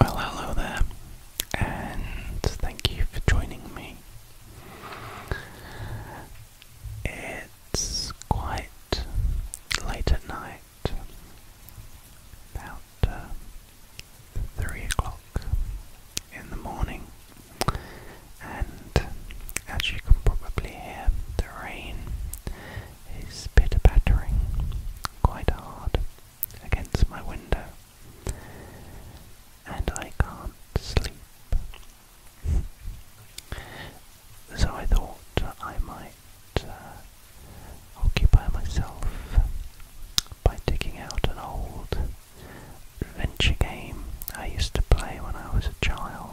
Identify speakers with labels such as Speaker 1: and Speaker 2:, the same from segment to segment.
Speaker 1: Well, hello there, and thank you for joining me. It's quite late at night, about uh, 3 o'clock in the morning, and as you can probably hear, the rain is pitter-pattering quite hard against my window, and I can't sleep. So I thought I might uh, occupy myself by digging out an old adventure game I used to play when I was a child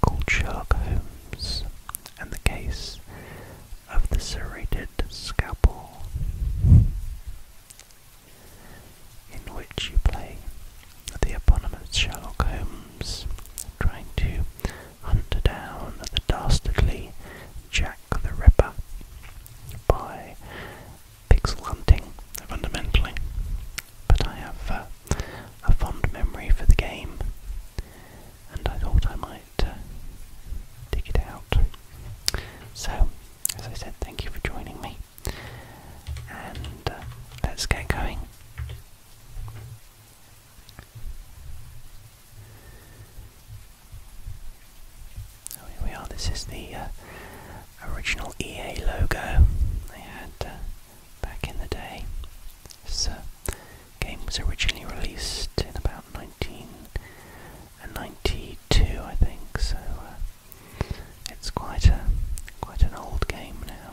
Speaker 1: called Sherlock Holmes and the Case of the Serrated Scalpel, in which you play the eponymous Sherlock Holmes trying to hunt down the dastardly Jack the Ripper by pixel hunting, fundamentally. But I have uh, a fond memory for the game and I thought I might uh, dig it out. So, as I said, thank you for joining me, and uh, let's get going. Oh, here we are. This is the uh, original EA logo they had back in the day. It's game was originally released in about 1992, I think. So uh, it's quite a quite an old game now,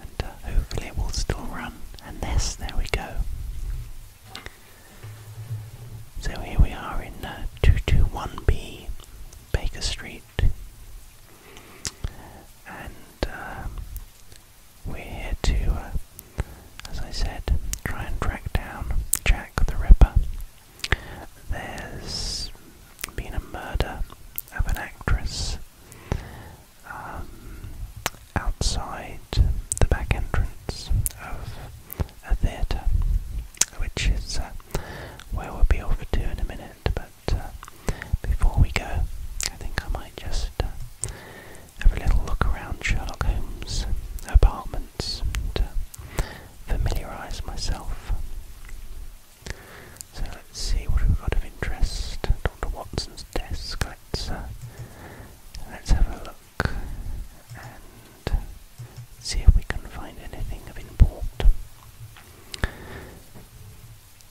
Speaker 1: and uh, hopefully it will still run. And this, there we go. So here we are in 221B uh, Baker Street, and um, we're here to, uh, as I said, try and track down Jack the Ripper. There's been a murder of an actress um, outside the back entrance of a theatre, which is uh, where we'll be off to in a minute. But uh, before we go, I think I might just uh, have a little look around Sherlock Holmes' apartments and uh, familiarise myself. So let's see what we've got of interest. Dr. Watson's desk. Let's let's have a look and see if we can find anything of import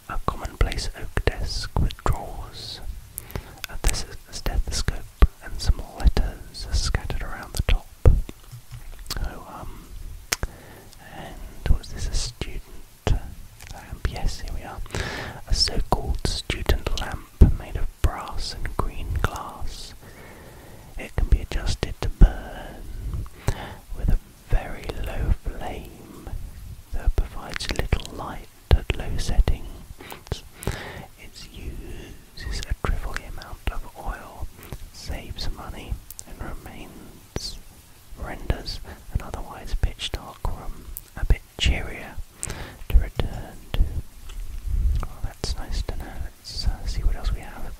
Speaker 1: a commonplace oak desk with drawers, a, stethoscope, and some letters are scattered around the top. Oh, um, and was this a student lamp? Yes, here we are. A so-called student lamp made of brass and green glass. It can be adjusted to burn with a very low flame that provides little light at low settings. It uses a trivial amount of oil, saves money, and remains renders an otherwise pitch dark room a bit cheerier to return to. Oh, that's nice to know. Let's uh, see what else we have.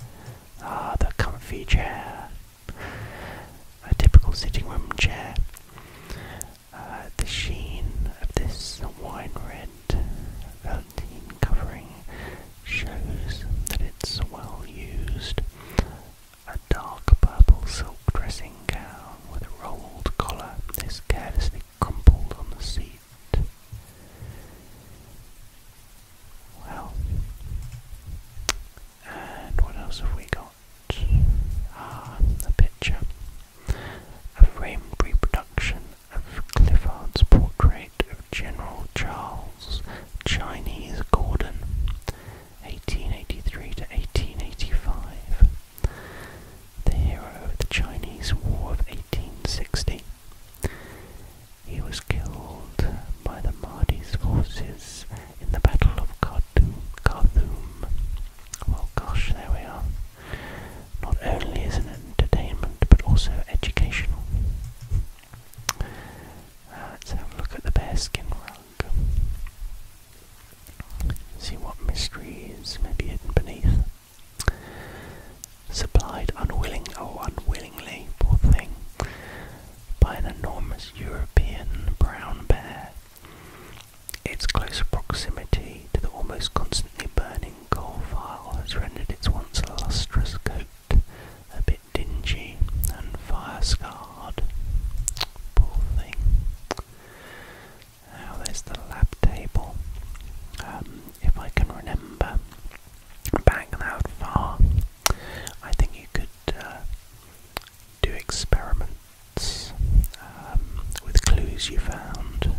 Speaker 1: Ah, the comfy chair a typical sitting room chair. Uh, the sheen of this wine red velveteen covering shows that it's well used. A dark purple silk dressing gown with a rolled collar is carelessly crumpled on the seat. Well, and what else have we got? Ah, a picture. A framed reproduction of Clifford's portrait of General Charles Chinese Gordon, 1883 to 1885, the hero of the Chinese War of 1860. He was killed by the Mahdi's forces in the Battle of Khartoum. Well, gosh, there we are. Not only as an entertainment, but also educational. Uh, let's have a look at the bear skin rug. See what mysteries may be hidden beneath. Supplied unwillingly, or oh, unwillingly, poor thing, by an enormous European brown bear. Its close proximity to the almost constantly burning coal fire has rendered its once lustrous coat a bit dingy and fire scarred. Poor thing. Now there's the lab table. Um, if I can remember back that far, I think you could uh, do experiments um, with clues you found.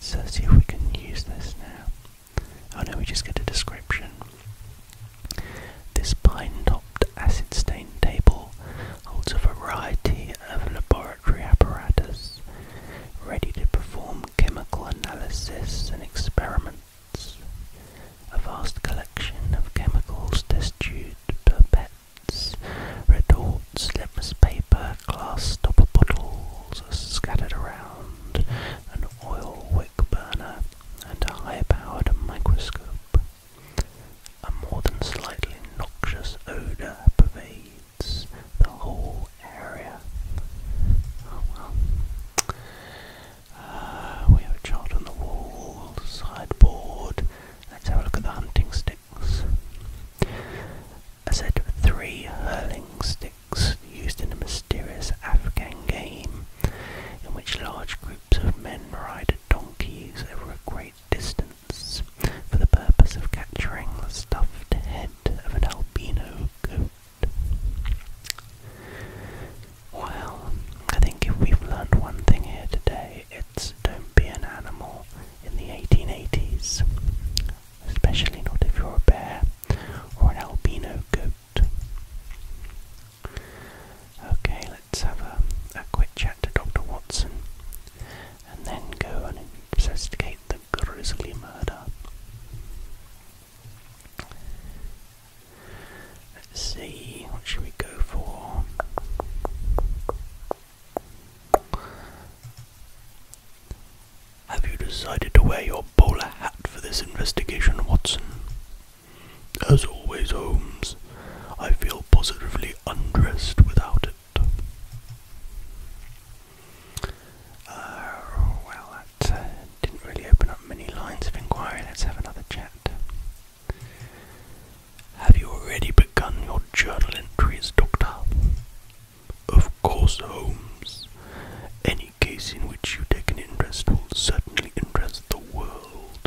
Speaker 1: So see if we can use this now. Oh no, we just get a description. This pine-topped, acid-stained table holds a variety of laboratory apparatus ready to perform chemical analysis and experiments a vast collection of chemicals, test tube pipettes, retorts, litmus paper, glass stopper bottles are scattered around, an oil wick burner, and a high-powered microscope. A more than slightly noxious odour pervades the whole area. Oh, uh, we have a chart on the wall, sideboard. Let's have a look at the hunting sticks. A set three hurling sticks used in a mysterious Afghan game in which large groups of men ride donkeys over a great distance for the purpose of capturing the stuffed head of an albino goat. Well, I think if we've learned one thing here today, it's don't be an animal in the 1880s, especially not if you're a bear or an albino goat. Okay, let's have a, a quick chat to Dr. Watson and then go and investigate the grisly murder. Let's see, what should we go for? Have you decided to wear your bowler hat for this investigation, Watson? As always, Holmes, I feel positively undressed without it. Uh, well, didn't really open up many lines of inquiry. Let's have another chat. Have you already begun your journal entries, Doctor? Of course, Holmes. Any case in which you take an interest will certainly interest the world.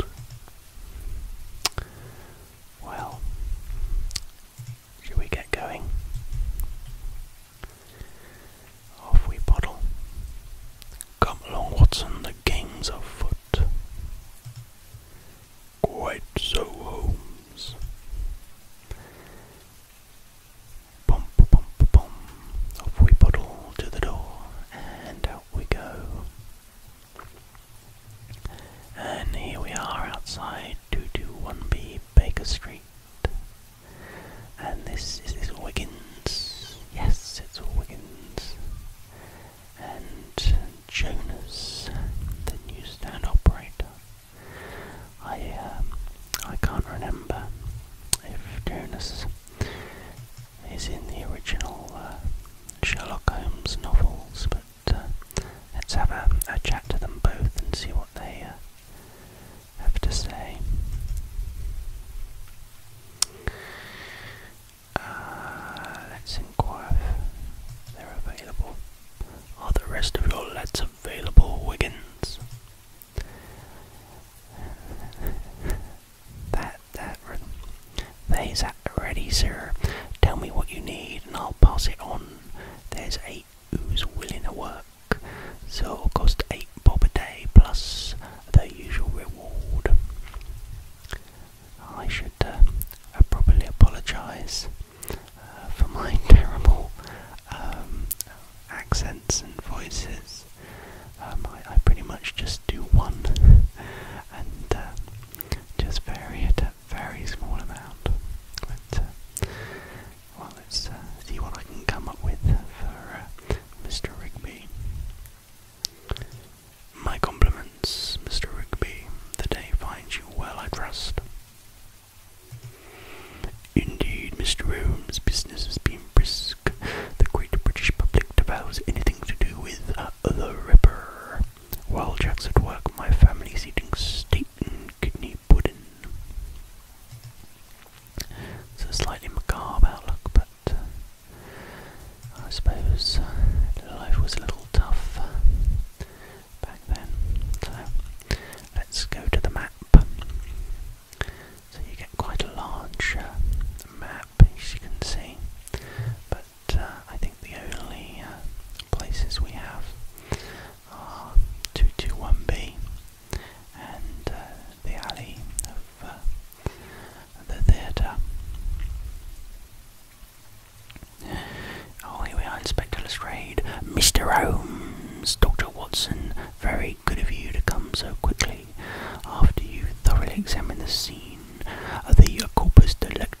Speaker 1: Well, shall we get going? Off we paddle. Come along, Watson, the game's afoot. Quite so, Holmes. Bum, bum, bum, Off we paddle to the door, and out we go. And here we are outside 221B Baker Street, and this is this Wiggins. Yes, it's all Wiggins. And Jonas, the newsstand operator. I um, I can't remember if Jonas is in the original uh, Sherlock Holmes novels, but uh, let's have a, chat to them both and see what they uh, have to say. Uh, let's inquire they're available. Are the rest of your lads available, Wiggins? that, that, they's ready, sir. Tell me what you need and I'll pass it on. There's eight who's willing to work, so it'll cost eight bob a day plus the usual reward. I should uh, uh, properly apologise uh, for my terrible um, accents and voices. Um, I, pretty much just do one and just vary it a very small amount. But, well, let's see what I can come up with for Mr. Rigby. My compliments, Mr. Rigby. The day finds you well, I trust. Indeed, Mr. Holmes, business is being brisk. The great British public devours anything to do with uh, the Ripper. While Jack's at work, my family's eating steak and kidney pudding. It's a slightly macabre outlook, but I suppose uh, life was a little tough back then. So let's go to the map. So you get quite a large uh, map, as you can see, but uh, I think the only places we have are 221B and the alley the theatre. Oh, here we are, Inspector Lestrade. Mr. Holmes, Dr. Watson, very good of you to come so quickly after you thoroughly examined the scene of the corpus delicti.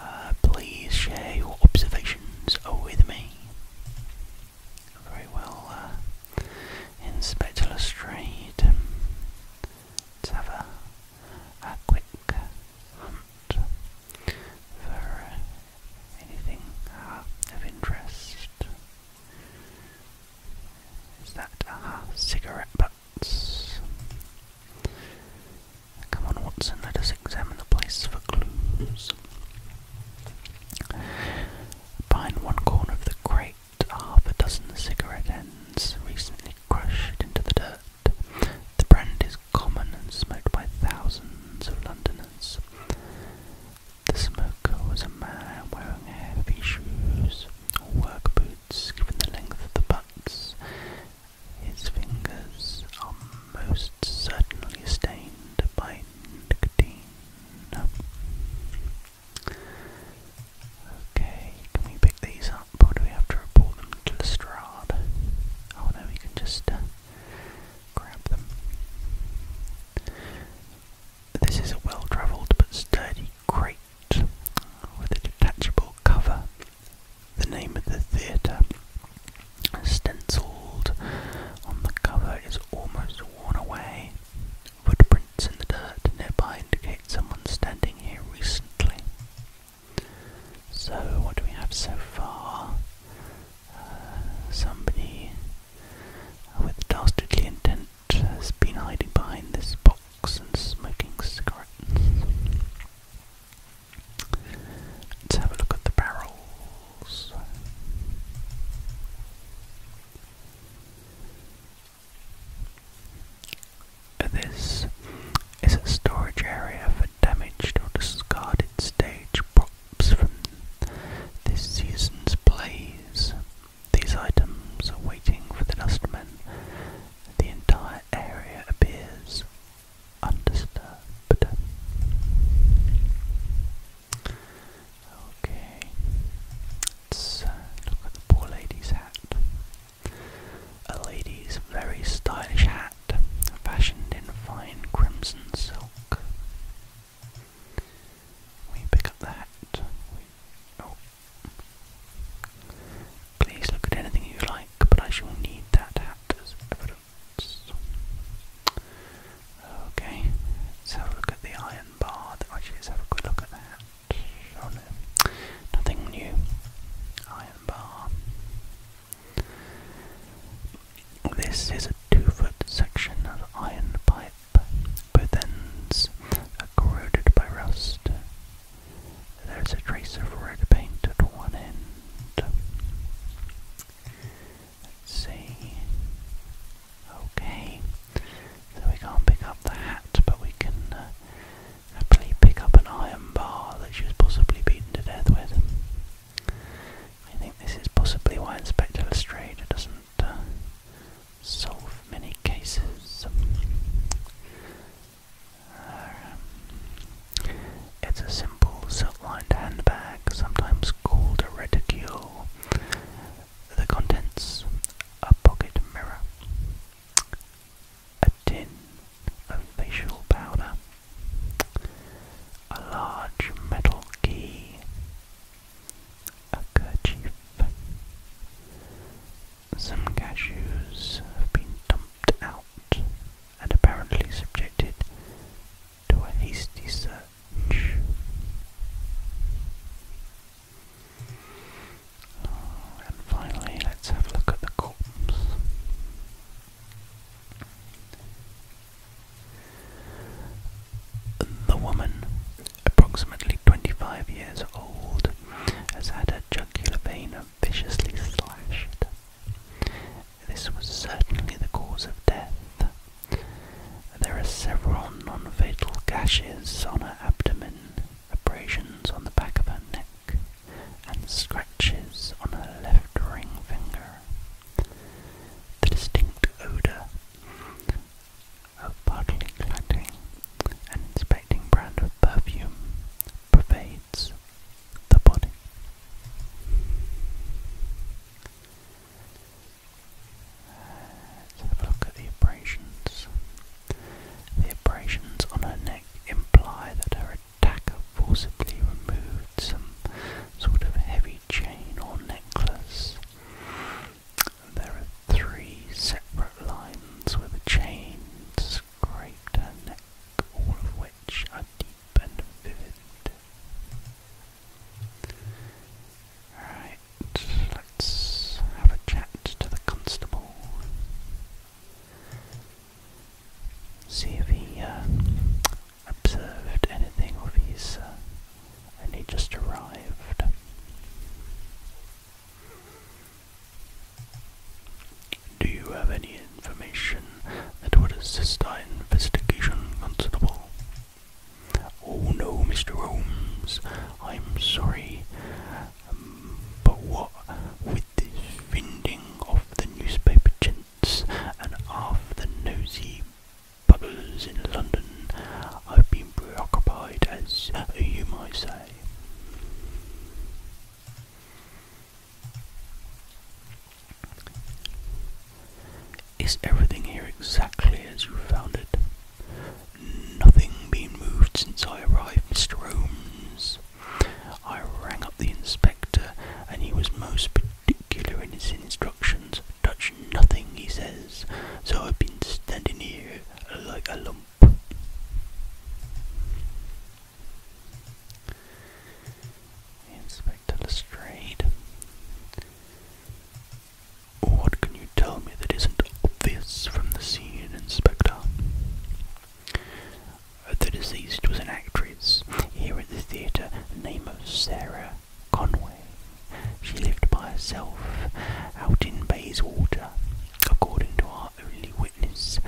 Speaker 1: Uh, please share your observations with me very well uh, in Spectacular Street. have a, a quick for uh, anything uh, of interest. Is that uh, cigarette butts? Come on, Watson, let us examine the place for clues. Behind one corner of the crate half a dozen cigarette ends recently crushed into the dirt. The brand is common and smoked by thousands of Londoners. The smoker was a man wearing heavy shoes or work boots, given the length of the butts. His fingers are most certainly stained by nicotine. Okay, can we pick these up or do we have to report them to Lestrade? Oh no, we can just uh, grab them. This is a well travelled but sturdy crate with a detachable cover. The name of the theatre, stenciled on the cover, is almost worn away. Footprints in the dirt nearby indicate someone standing here recently. So, what do we have so far? Uh, somebody with dastardly intent has been hiding behind this box and smoking cigarettes. Let's have a look at the barrels. This is a storage area for damaged or discarded stage props from this season's plays. These items are waiting for the dustmen. The entire area appears undisturbed. Okay, let's uh, look at the poor lady's hat. A lady's very stylish hat, fashioned in fine crimson silk. We pick up the hat. oh. Please look at anything you like, but I shall need that hat as evidence. Okay, let's have a look at the iron bar. let's have a good look at that. nothing new. Iron bar. This is a two foot section of iron pipe, both ends are corroded by rust. There is a trace of red paint at one end. Let's see. Okay. So we can't pick up the hat, but we can uh, happily pick up an iron bar that she was possibly beaten to death with. I think this is possibly why Inspector Lestrade doesn't uh, solve many cases. Uh, it's a simple silk-lined handbag, sometimes called a reticule, the contents a pocket mirror, a tin of facial powder, a large metal key, a kerchief. Some cashews have been dumped out and apparently subjected do a hasty search. Oh, and finally, let's have a look at the corpse. The woman, approximately 25 years old, has had her jugular vein viciously slashed. This was certainly the cause of death, there are several non-fatal gashes on her abdomen, abrasions on the back of her neck, and scratches on her left ring finger. The distinct odour of partly collecting and inspecting brand of perfume pervades the body. Let's have a look at the abrasions. The abrasions on her neck imply that her attacker forcibly removed some sort of heavy chain or necklace. There are three separate lines where the chain scraped her neck, all of which are deep and vivid. Right, let's have a chat to the constable. See if he uh, observed anything or if he's uh, only just arrived. Do you have any information that would assist our investigation, Constable? Oh no, Mr. Holmes, I'm sorry. Um, but what with this finding of the newspaper gents and half the nosy buggers in London, I've been preoccupied, as you might say. Is everything here exactly as you found it? Nothing been moved since I arrived, Mr. Holmes. I rang up the inspector, and he was most particular in his instructions. Touch nothing, he says. So I've been standing here like a lump. Inspector Lestrade what can you tell me that isn't obvious from the scene, Inspector? The deceased was an actress here at the theatre, the name of Sarah Conway. She lived by herself out in Bayswater. According to our only witness,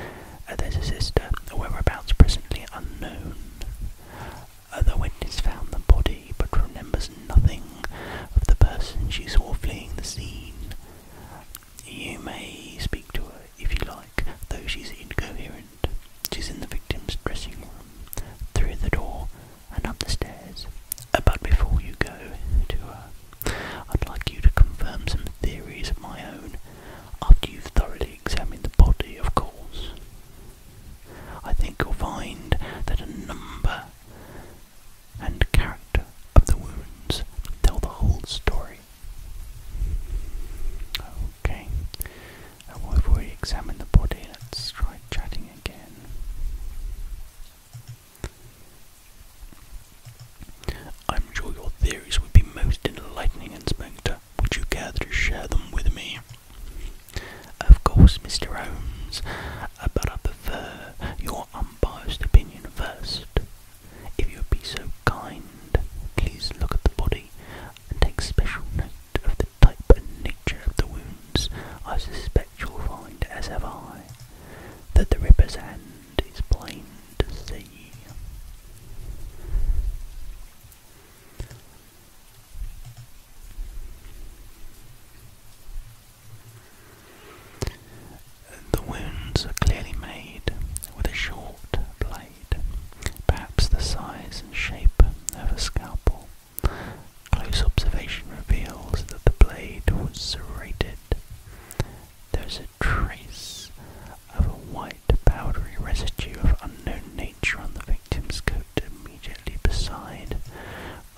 Speaker 1: there's a sister, whereabouts presently unknown. Uh, the witness found the body but remembers nothing of the person she saw fleeing the scene. You may speak to her if you like, though she's incoherent. She's in the victim's dressing room, through the door, and up the stairs. Uh, but before you go to her, I'd like you to confirm some theories of my own, after you've thoroughly examined the body, of course. I think you'll find that a number and character of the wounds tell the whole story. Okay, and we've the body. Let's try chatting again. I'm sure your theories would be most enlightening, Inspector. Would you care to share them with me? Of course, Mr. Holmes, uh, but I prefer your unbiased opinion first. If you would be so kind, please look at the body and take special note of the type and nature of the wounds. I suspect you'll find, as have I, that the Ripper's hand is plain to see. The wounds are clearly made with a short blade, perhaps the size and shape of a scalpel. Close observation reveals that the blade was serrated. There is a trace of a white powdery residue of unknown nature on the finger. Tim's coat immediately beside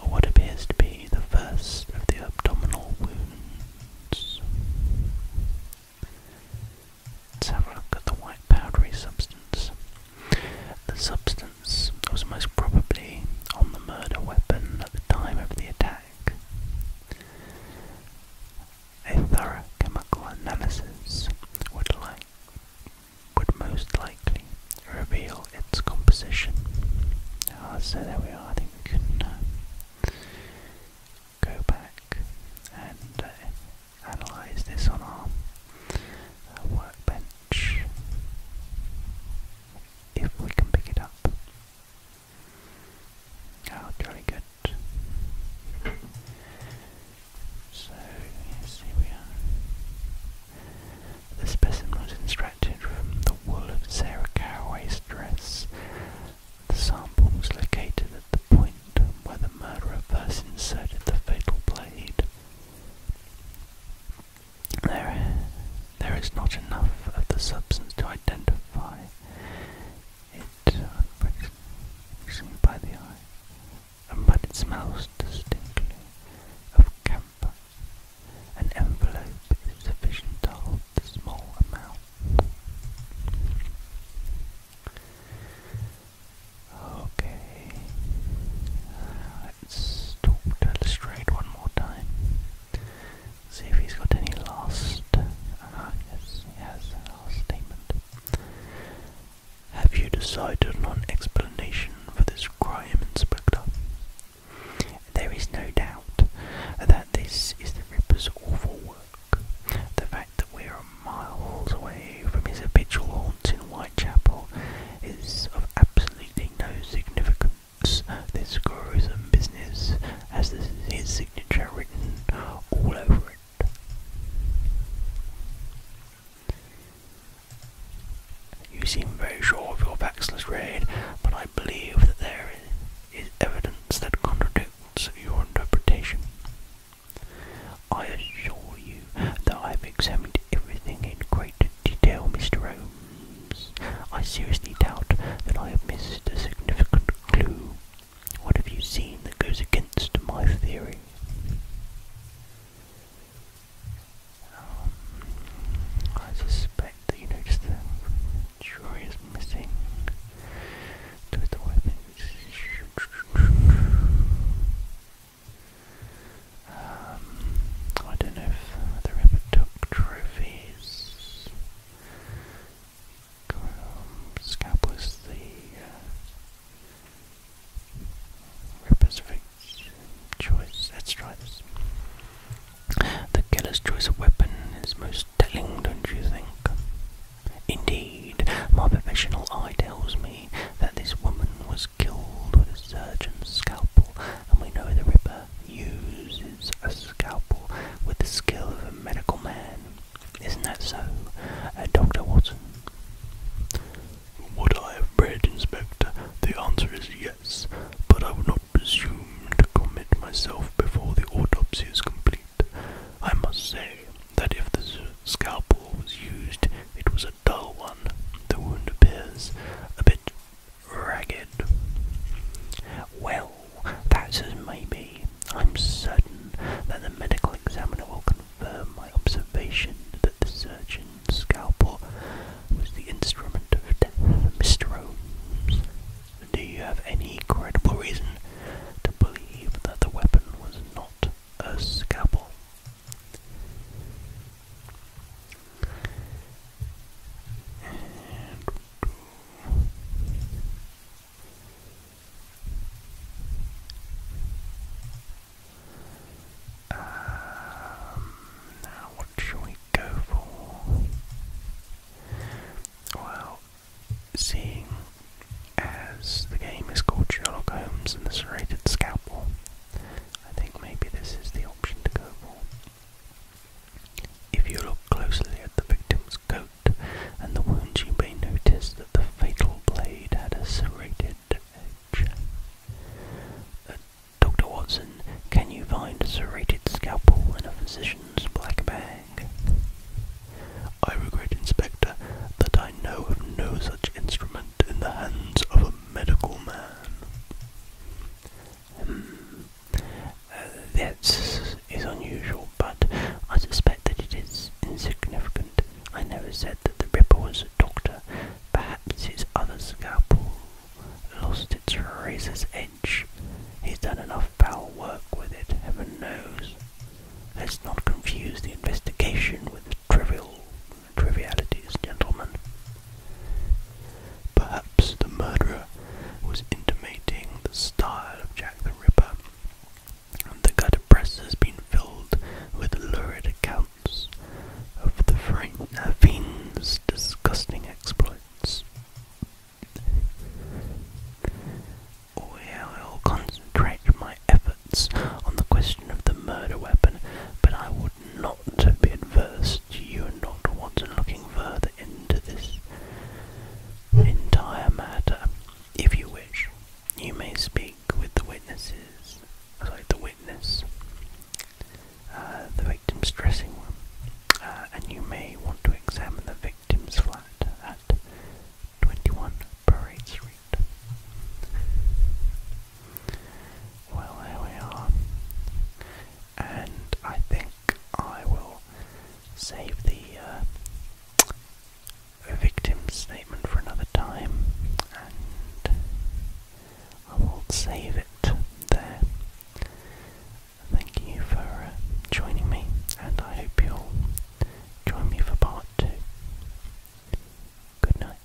Speaker 1: what appears to be the first of the abdominal wounds. Let's have a look at the white powdery substance. The substance was most probably on the murder weapon at the time of the attack. A thorough chemical analysis would like would most likely reveal its composition. Ah, so there we are. I think uh, go back and uh, analyze this on our uh, workbench if we can pick it up. Oh, jolly good. So yes, here we are. The specimen was extracted from the wool of Sarah Caraway's dress. The sample was located at the point where the murderer first inserted the fatal blade. There, there is not enough of the substance to identify it uh, by the eye but it smells distinctly of camphor. An envelope is sufficient to hold the small amount. Okay, let's talk one more time. See if he's got any last. Uh, yes, he has a last statement. Have you decided on an explanation for this crime, Inspector? There is no doubt that this is the Ripper's awful work. The fact that we are miles away from his habitual haunts in Whitechapel is of absolutely no significance. This gruesome business has this, his signature written all over it. You seem very sure of your backsless raid, but I believe that there is evidence that contradicts your interpretation. I assure you that I have examined everything in great detail, Mr. Holmes. I seriously doubt that I have missed a significant clue. What have you seen that goes against my theory? Um, I suspect that you noticed the jury is missing. Do the weapons. Um, I don't know if the Ripper took trophies. Um, the uh, Reperfect choice. Let's The killer's choice of weapon is most telling, don't you think? Indeed, my professional eye tells me that this woman was killed with a surgeon's scalpel, and we know the Ripper uses a scalpel with the skill of a medical man. Isn't that so, uh, Dr. Watson? Would I have read, Inspector? The answer is yes, but I will not presume to commit myself before the autopsy is complete. I must say that if the scalpel was used, it was a dull one. The wound appears a bit ragged. Well, that says maybe. I'm certain that the medical examiner will confirm confirm my observation that the surgeon's scalpel was the instrument of death for Mr. Holmes. Do you have any credible reason to believe that the weapon was not a scalpel? Um, now, what shall we go for? Well, seeing as the game is called Sherlock Holmes and the Serrated Scalpel, I think maybe this is the option to go for. If you look closely at the victim's coat and the wounds, you may notice that the fatal blade had a serrated edge. Uh, Dr. Watson, can you find a serrated scalpel in a physician's black bag? I regret, Inspector, that I know of no such instrument in the hands of a medical man. Hmm. Uh, that is unusual, but I suspect that it is insignificant I never said that the Ripper was a doctor. Perhaps his other scalpel lost its razor's edge. He's done enough foul work with it, heaven knows. Let's not confuse the investigation with trivial trivialities, gentlemen. Perhaps the murderer was intimating the style of Jack the Ripper. And the gutter press has been filled with lurid accounts of the uh, fiend's disgusting exploits. I will concentrate my efforts on the question of the murder weapon, but I would not be adverse to you and Dr. looking further into this entire matter, if you wish. You may speak with the witnesses, sorry, the witness, uh, the victim's dressing room, uh, and you may want to examine the victim's flat at 21 Parade Street. Well, there we are. And I think I will save the uh, victim's statement for another time, and I will save it there. Thank you for uh, joining me, and I hope you'll join me for part two. Good night.